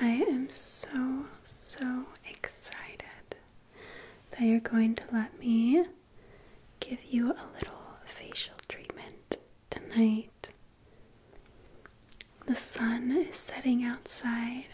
I am so, so excited that you're going to let me give you a little facial treatment tonight. The sun is setting outside,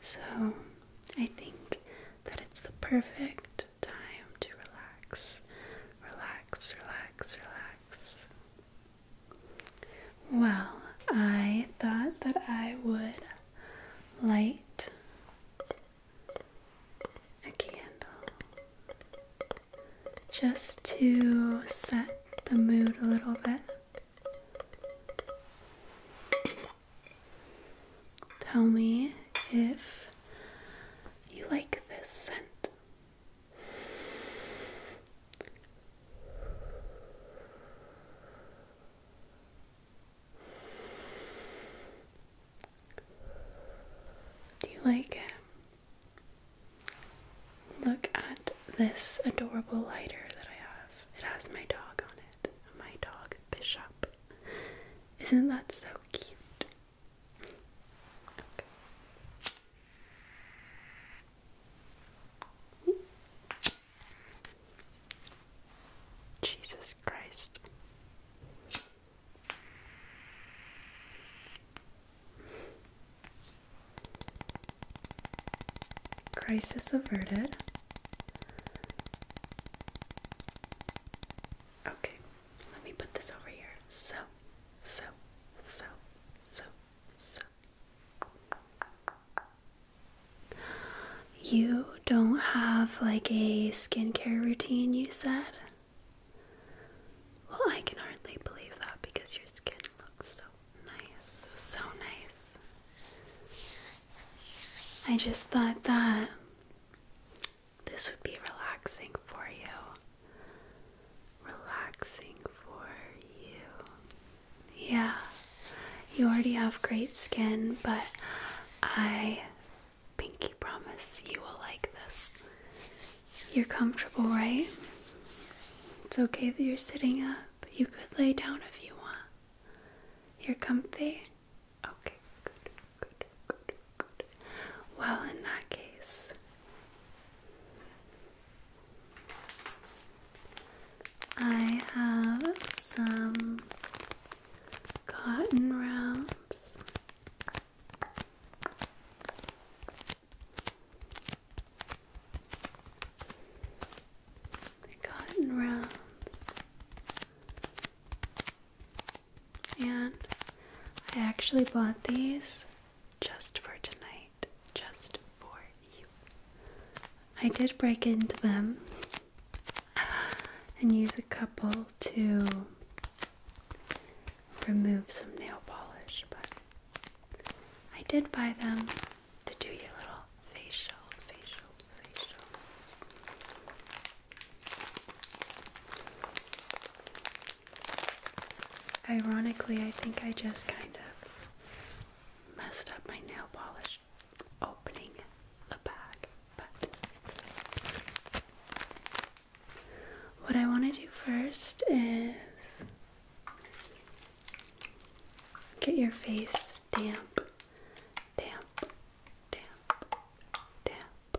so I think that it's the perfect time to relax, relax, relax, relax. Well, I thought that I would light a candle just to set the mood a little bit. Tell me if you like this scent. Do you like it? Um, look at this adorable lighter that I have. It has my dog on it. My dog, Bishop. Isn't that so cute? Jesus Christ. Crisis averted. Okay, let me put this over here. So, so, so, so, so. You don't have like a skincare routine, you said? Well, I can hardly believe that because your skin looks so nice. So nice. I just thought that this would be relaxing for you relaxing for you. Yeah, you already have great skin, but I pinky promise you will like this. You're comfortable, right? It's okay that you're sitting up. You could lay down if you want. You're comfy? Okay, good, good, good, well, in that case, I have some cotton rounds. Cotton rounds and I actually bought these just for tonight, just for you. I did break into them and use a couple to remove some nail polish, but I did buy them to do your little facial, facial, facial. Ironically, I think I just kind of messed up my nail polish opening the bag, but what I want to do first is get your face damp, damp, damp, damp,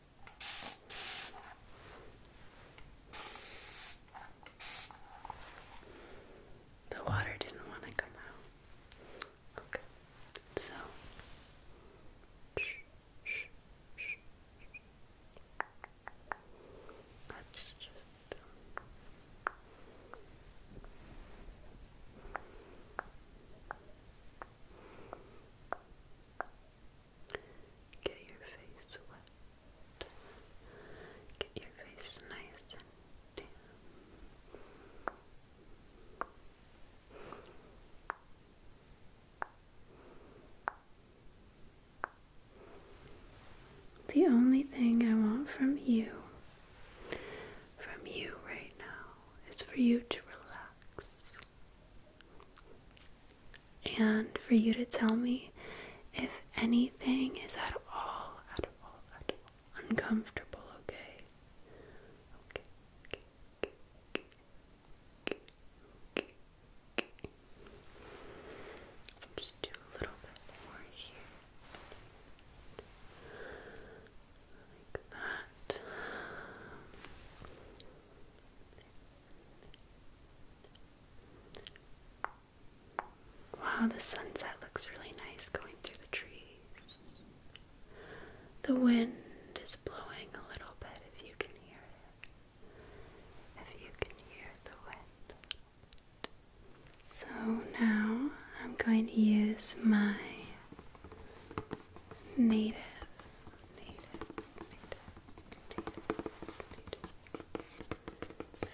The water didn't want to come out. Okay, so. Let's just. Get your face wet. Get your face nice and damp. The only thing I want from you, from you right now, is for you to relax and for you to tell me if anything is at all, at all, at all uncomfortable, okay? Okay, okay, okay, okay, okay, okay, okay. Just do a little bit more here. Wow, the sunset looks really nice going through the trees. The wind is blowing a little bit if you can hear it. If you can hear the wind. So now I'm going to use my native,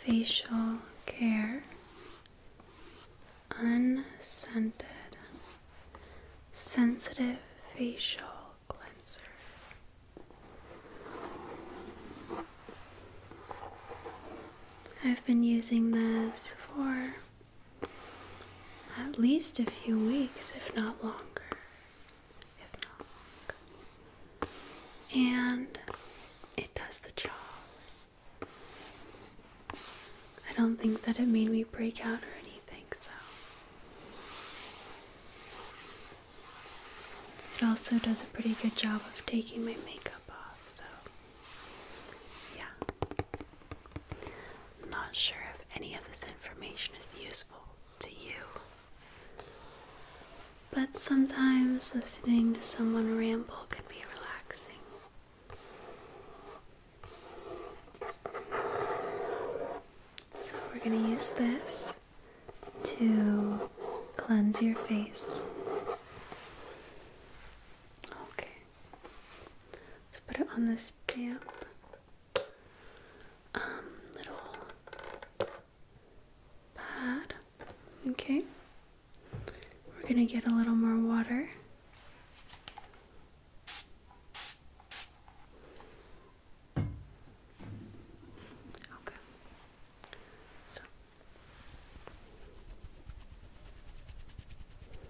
facial care, unscented, sensitive facial cleanser. I've been using this for at least a few weeks, if not longer. If not longer. And it does the job. I don't think that it made me break out or anything, so. It also does a pretty good job of taking my makeup off, so yeah. I'm not sure if any of this information is useful to you, but sometimes listening to someone ramble can be relaxing. So, we're going to use this to cleanse your face. Okay. Let's put it on this damp um, little pad. Okay. We're going to get a little more water. Okay.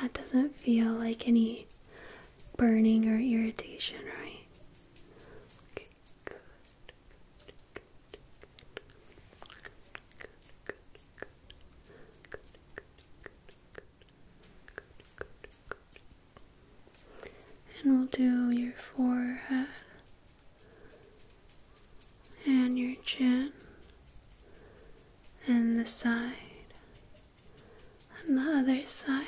That doesn't feel like any burning or irritation, right? And we'll do your forehead and your chin and the side and the other side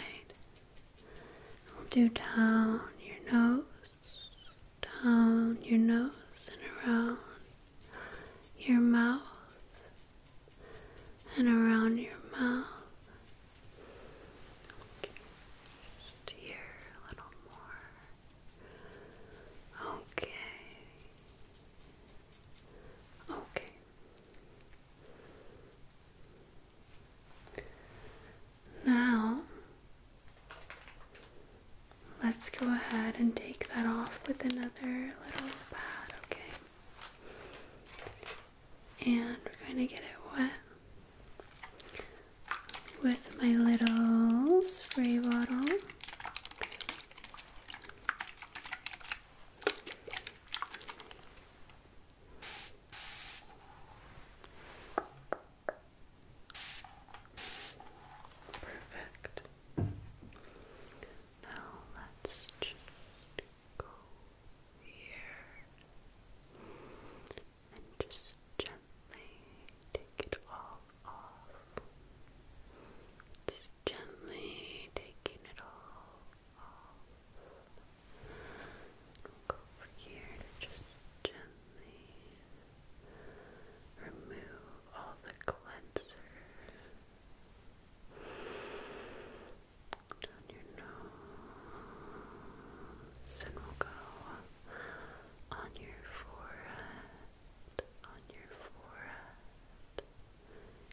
do down your nose, down your nose, and around your mouth, and around your mouth. Just here a little more. Okay. Okay. Now, let's go ahead and take that off with another little pad, okay? And we're going to get it wet with my little spray bottle. Perfect. Now let's just go here and just gently take it all off. Just gently taking it all off. I'll go here to just gently remove all the cleanser down your nose, and we'll go on your forehead, on your forehead.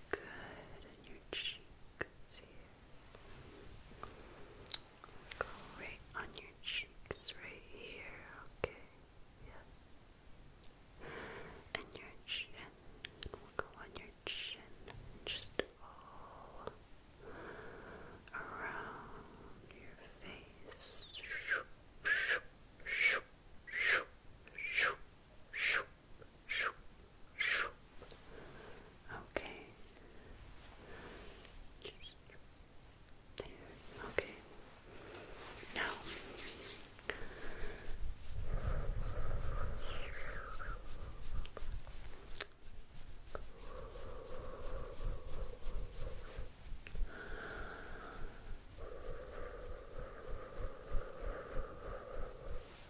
Good, and your cheeks here. Go on your cheeks, right here, okay? Yeah. And your chin. go on your chin. Just all around your face. Okay. Just there. Okay. Now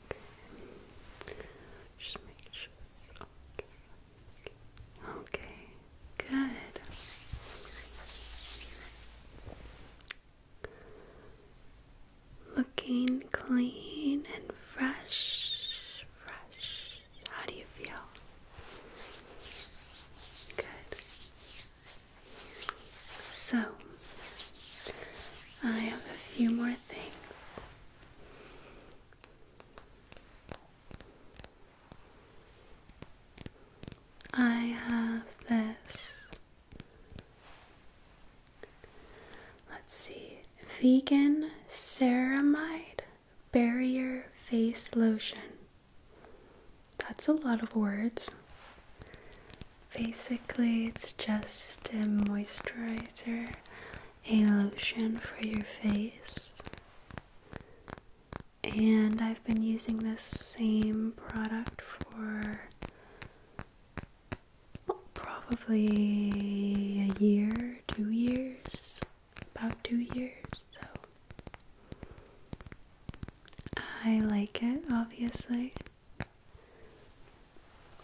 Okay. Just make sure Okay. Good. Looking clean and fresh. Fresh. How do you feel? Good. So, I have a few more things. I have this. Let's see. Vegan ceramide barrier face lotion. That's a lot of words. Basically, it's just a moisturizer, a lotion for your face. And I've been using this same product for probably a year, two years, about two years. So I like it, obviously.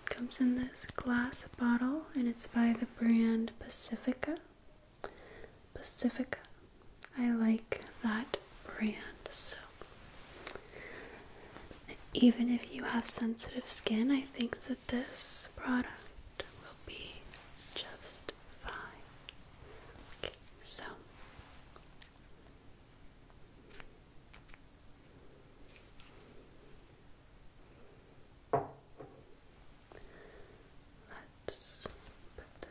Comes in this glass bottle and it's by the brand Pacifica. Pacifica. I like that brand so. Even if you have sensitive skin, I think that this product will be just fine. so Let's put that. There. There.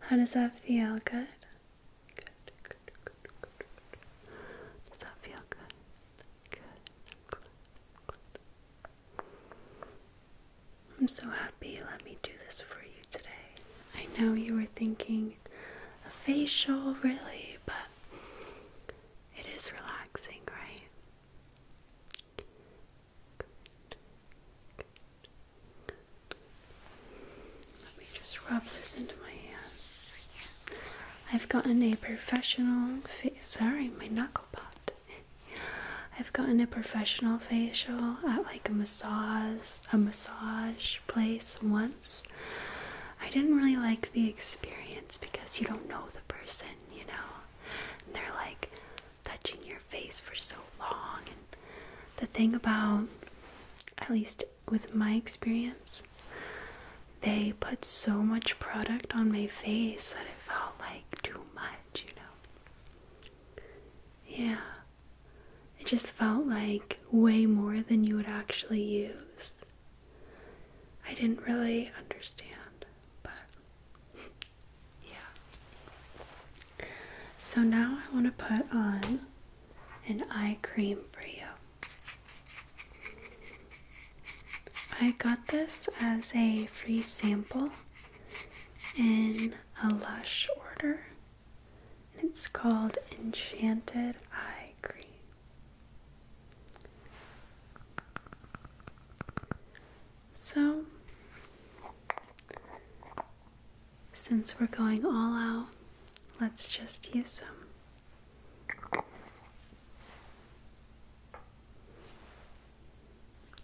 How does that feel? Good? Does that feel good. I'm so happy. Let me do this for you today. I know you were thinking a facial, really, but it is relaxing, right? Let me just rub this into my hands. I've gotten a professional sorry, my knuckle popped. I've gotten a professional facial at like a massage a massage place once I didn't really like the experience because you don't know the person, you know? they're like touching your face for so long. And the thing about, at least with my experience, they put so much product on my face that it felt like too much, you know? Yeah. It just felt like way more than you would actually use. I didn't really understand, but yeah. So now I want to put on an eye cream for you. I got this as a free sample in a Lush order. It's called Enchanted Eye Cream. So, since we're going all out, let's just use some.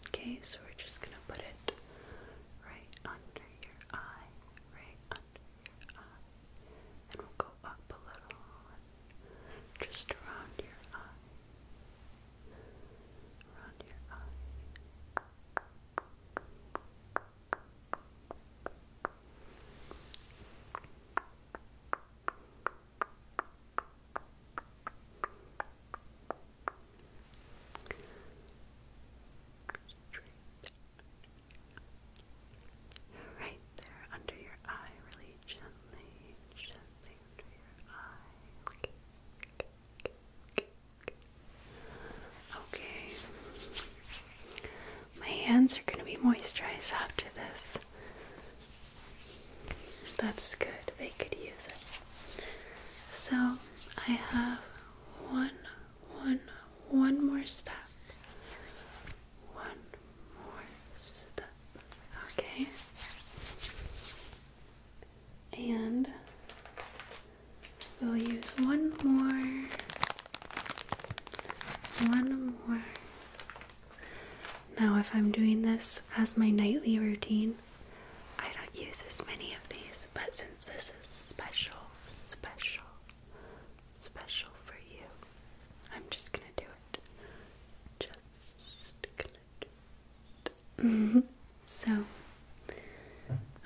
Okay, so we're just going to put it right under your eye, right under uh, and we'll go up a little, just around your eye, around your eye. Straight right there under your eye, really gently, gently under your eye. Okay, my hands are going to be moisturized after this. That's good, they could use it. So, I have one one one more step. One more step. Okay. And we'll use one more. One more. Now, if I'm doing this as my nightly routine, I don't use as many of these, but since this is special, special, special for you. I'm just gonna do it. Just gonna do it. so,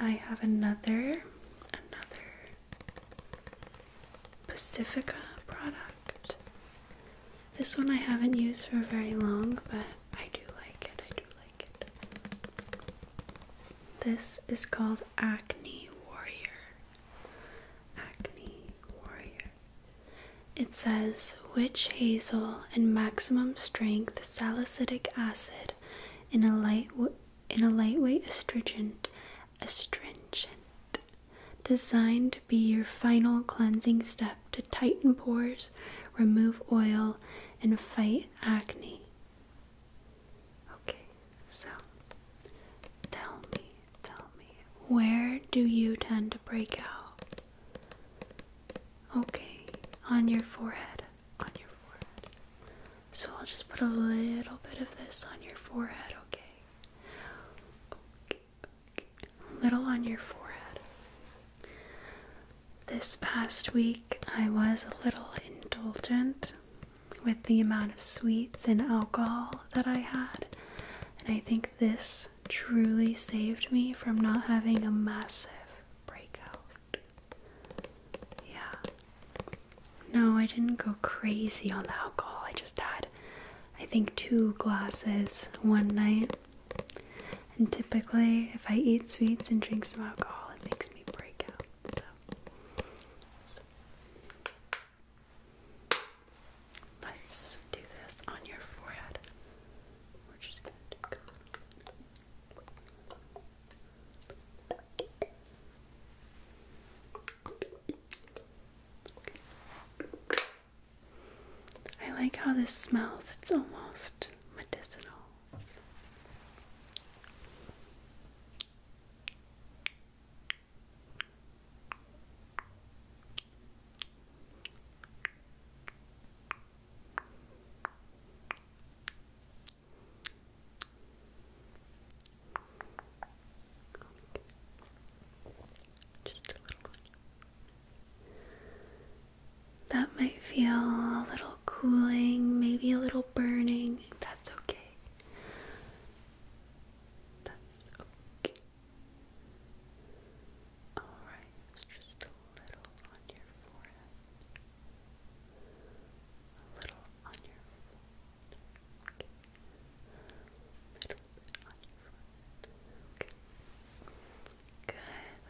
I have another, another Pacifica product. This one I haven't used for very long, but I do like it. I do like it. This is called Acne Warrior. Acne Warrior. It says witch hazel and maximum strength salicylic acid in a light in a lightweight astringent astringent designed to be your final cleansing step to tighten pores, remove oil and fight acne. Okay, so tell me, tell me, where do you tend to break out? Okay, on your forehead, on your forehead. So I'll just put a little bit of this on your forehead, okay? Okay, okay. A little on your forehead. This past week I was a little indulgent with the amount of sweets and alcohol that I had. And I think this truly saved me from not having a massive breakout. Yeah. No, I didn't go crazy on the alcohol. I just had, I think, two glasses one night. And typically, if I eat sweets and drink some alcohol, it makes me break out let's do this on your forehead. We're just going to I like how this smells. It's almost medicinal. Okay. Just a little one. That might feel a little cooling, maybe a little burning. That's okay. That's okay. Alright, it's just a little on your forehead. A little on your forehead. Okay. Good.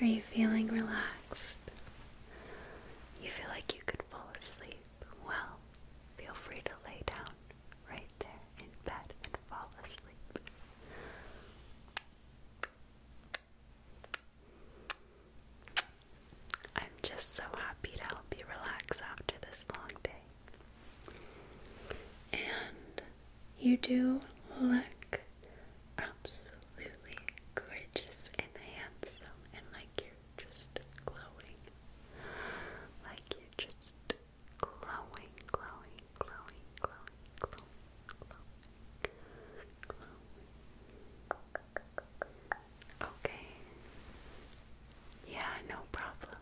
are you feeling relaxed? You feel like you could fall asleep? Well, feel free to lay down right there in bed and fall asleep. I'm just so happy to help you relax after this long day. And you do look absolutely gorgeous and handsome and like you're just glowing. Like you're just glowing, glowing, glowing, glowing, glowing, glowing, Okay. Yeah, no problem.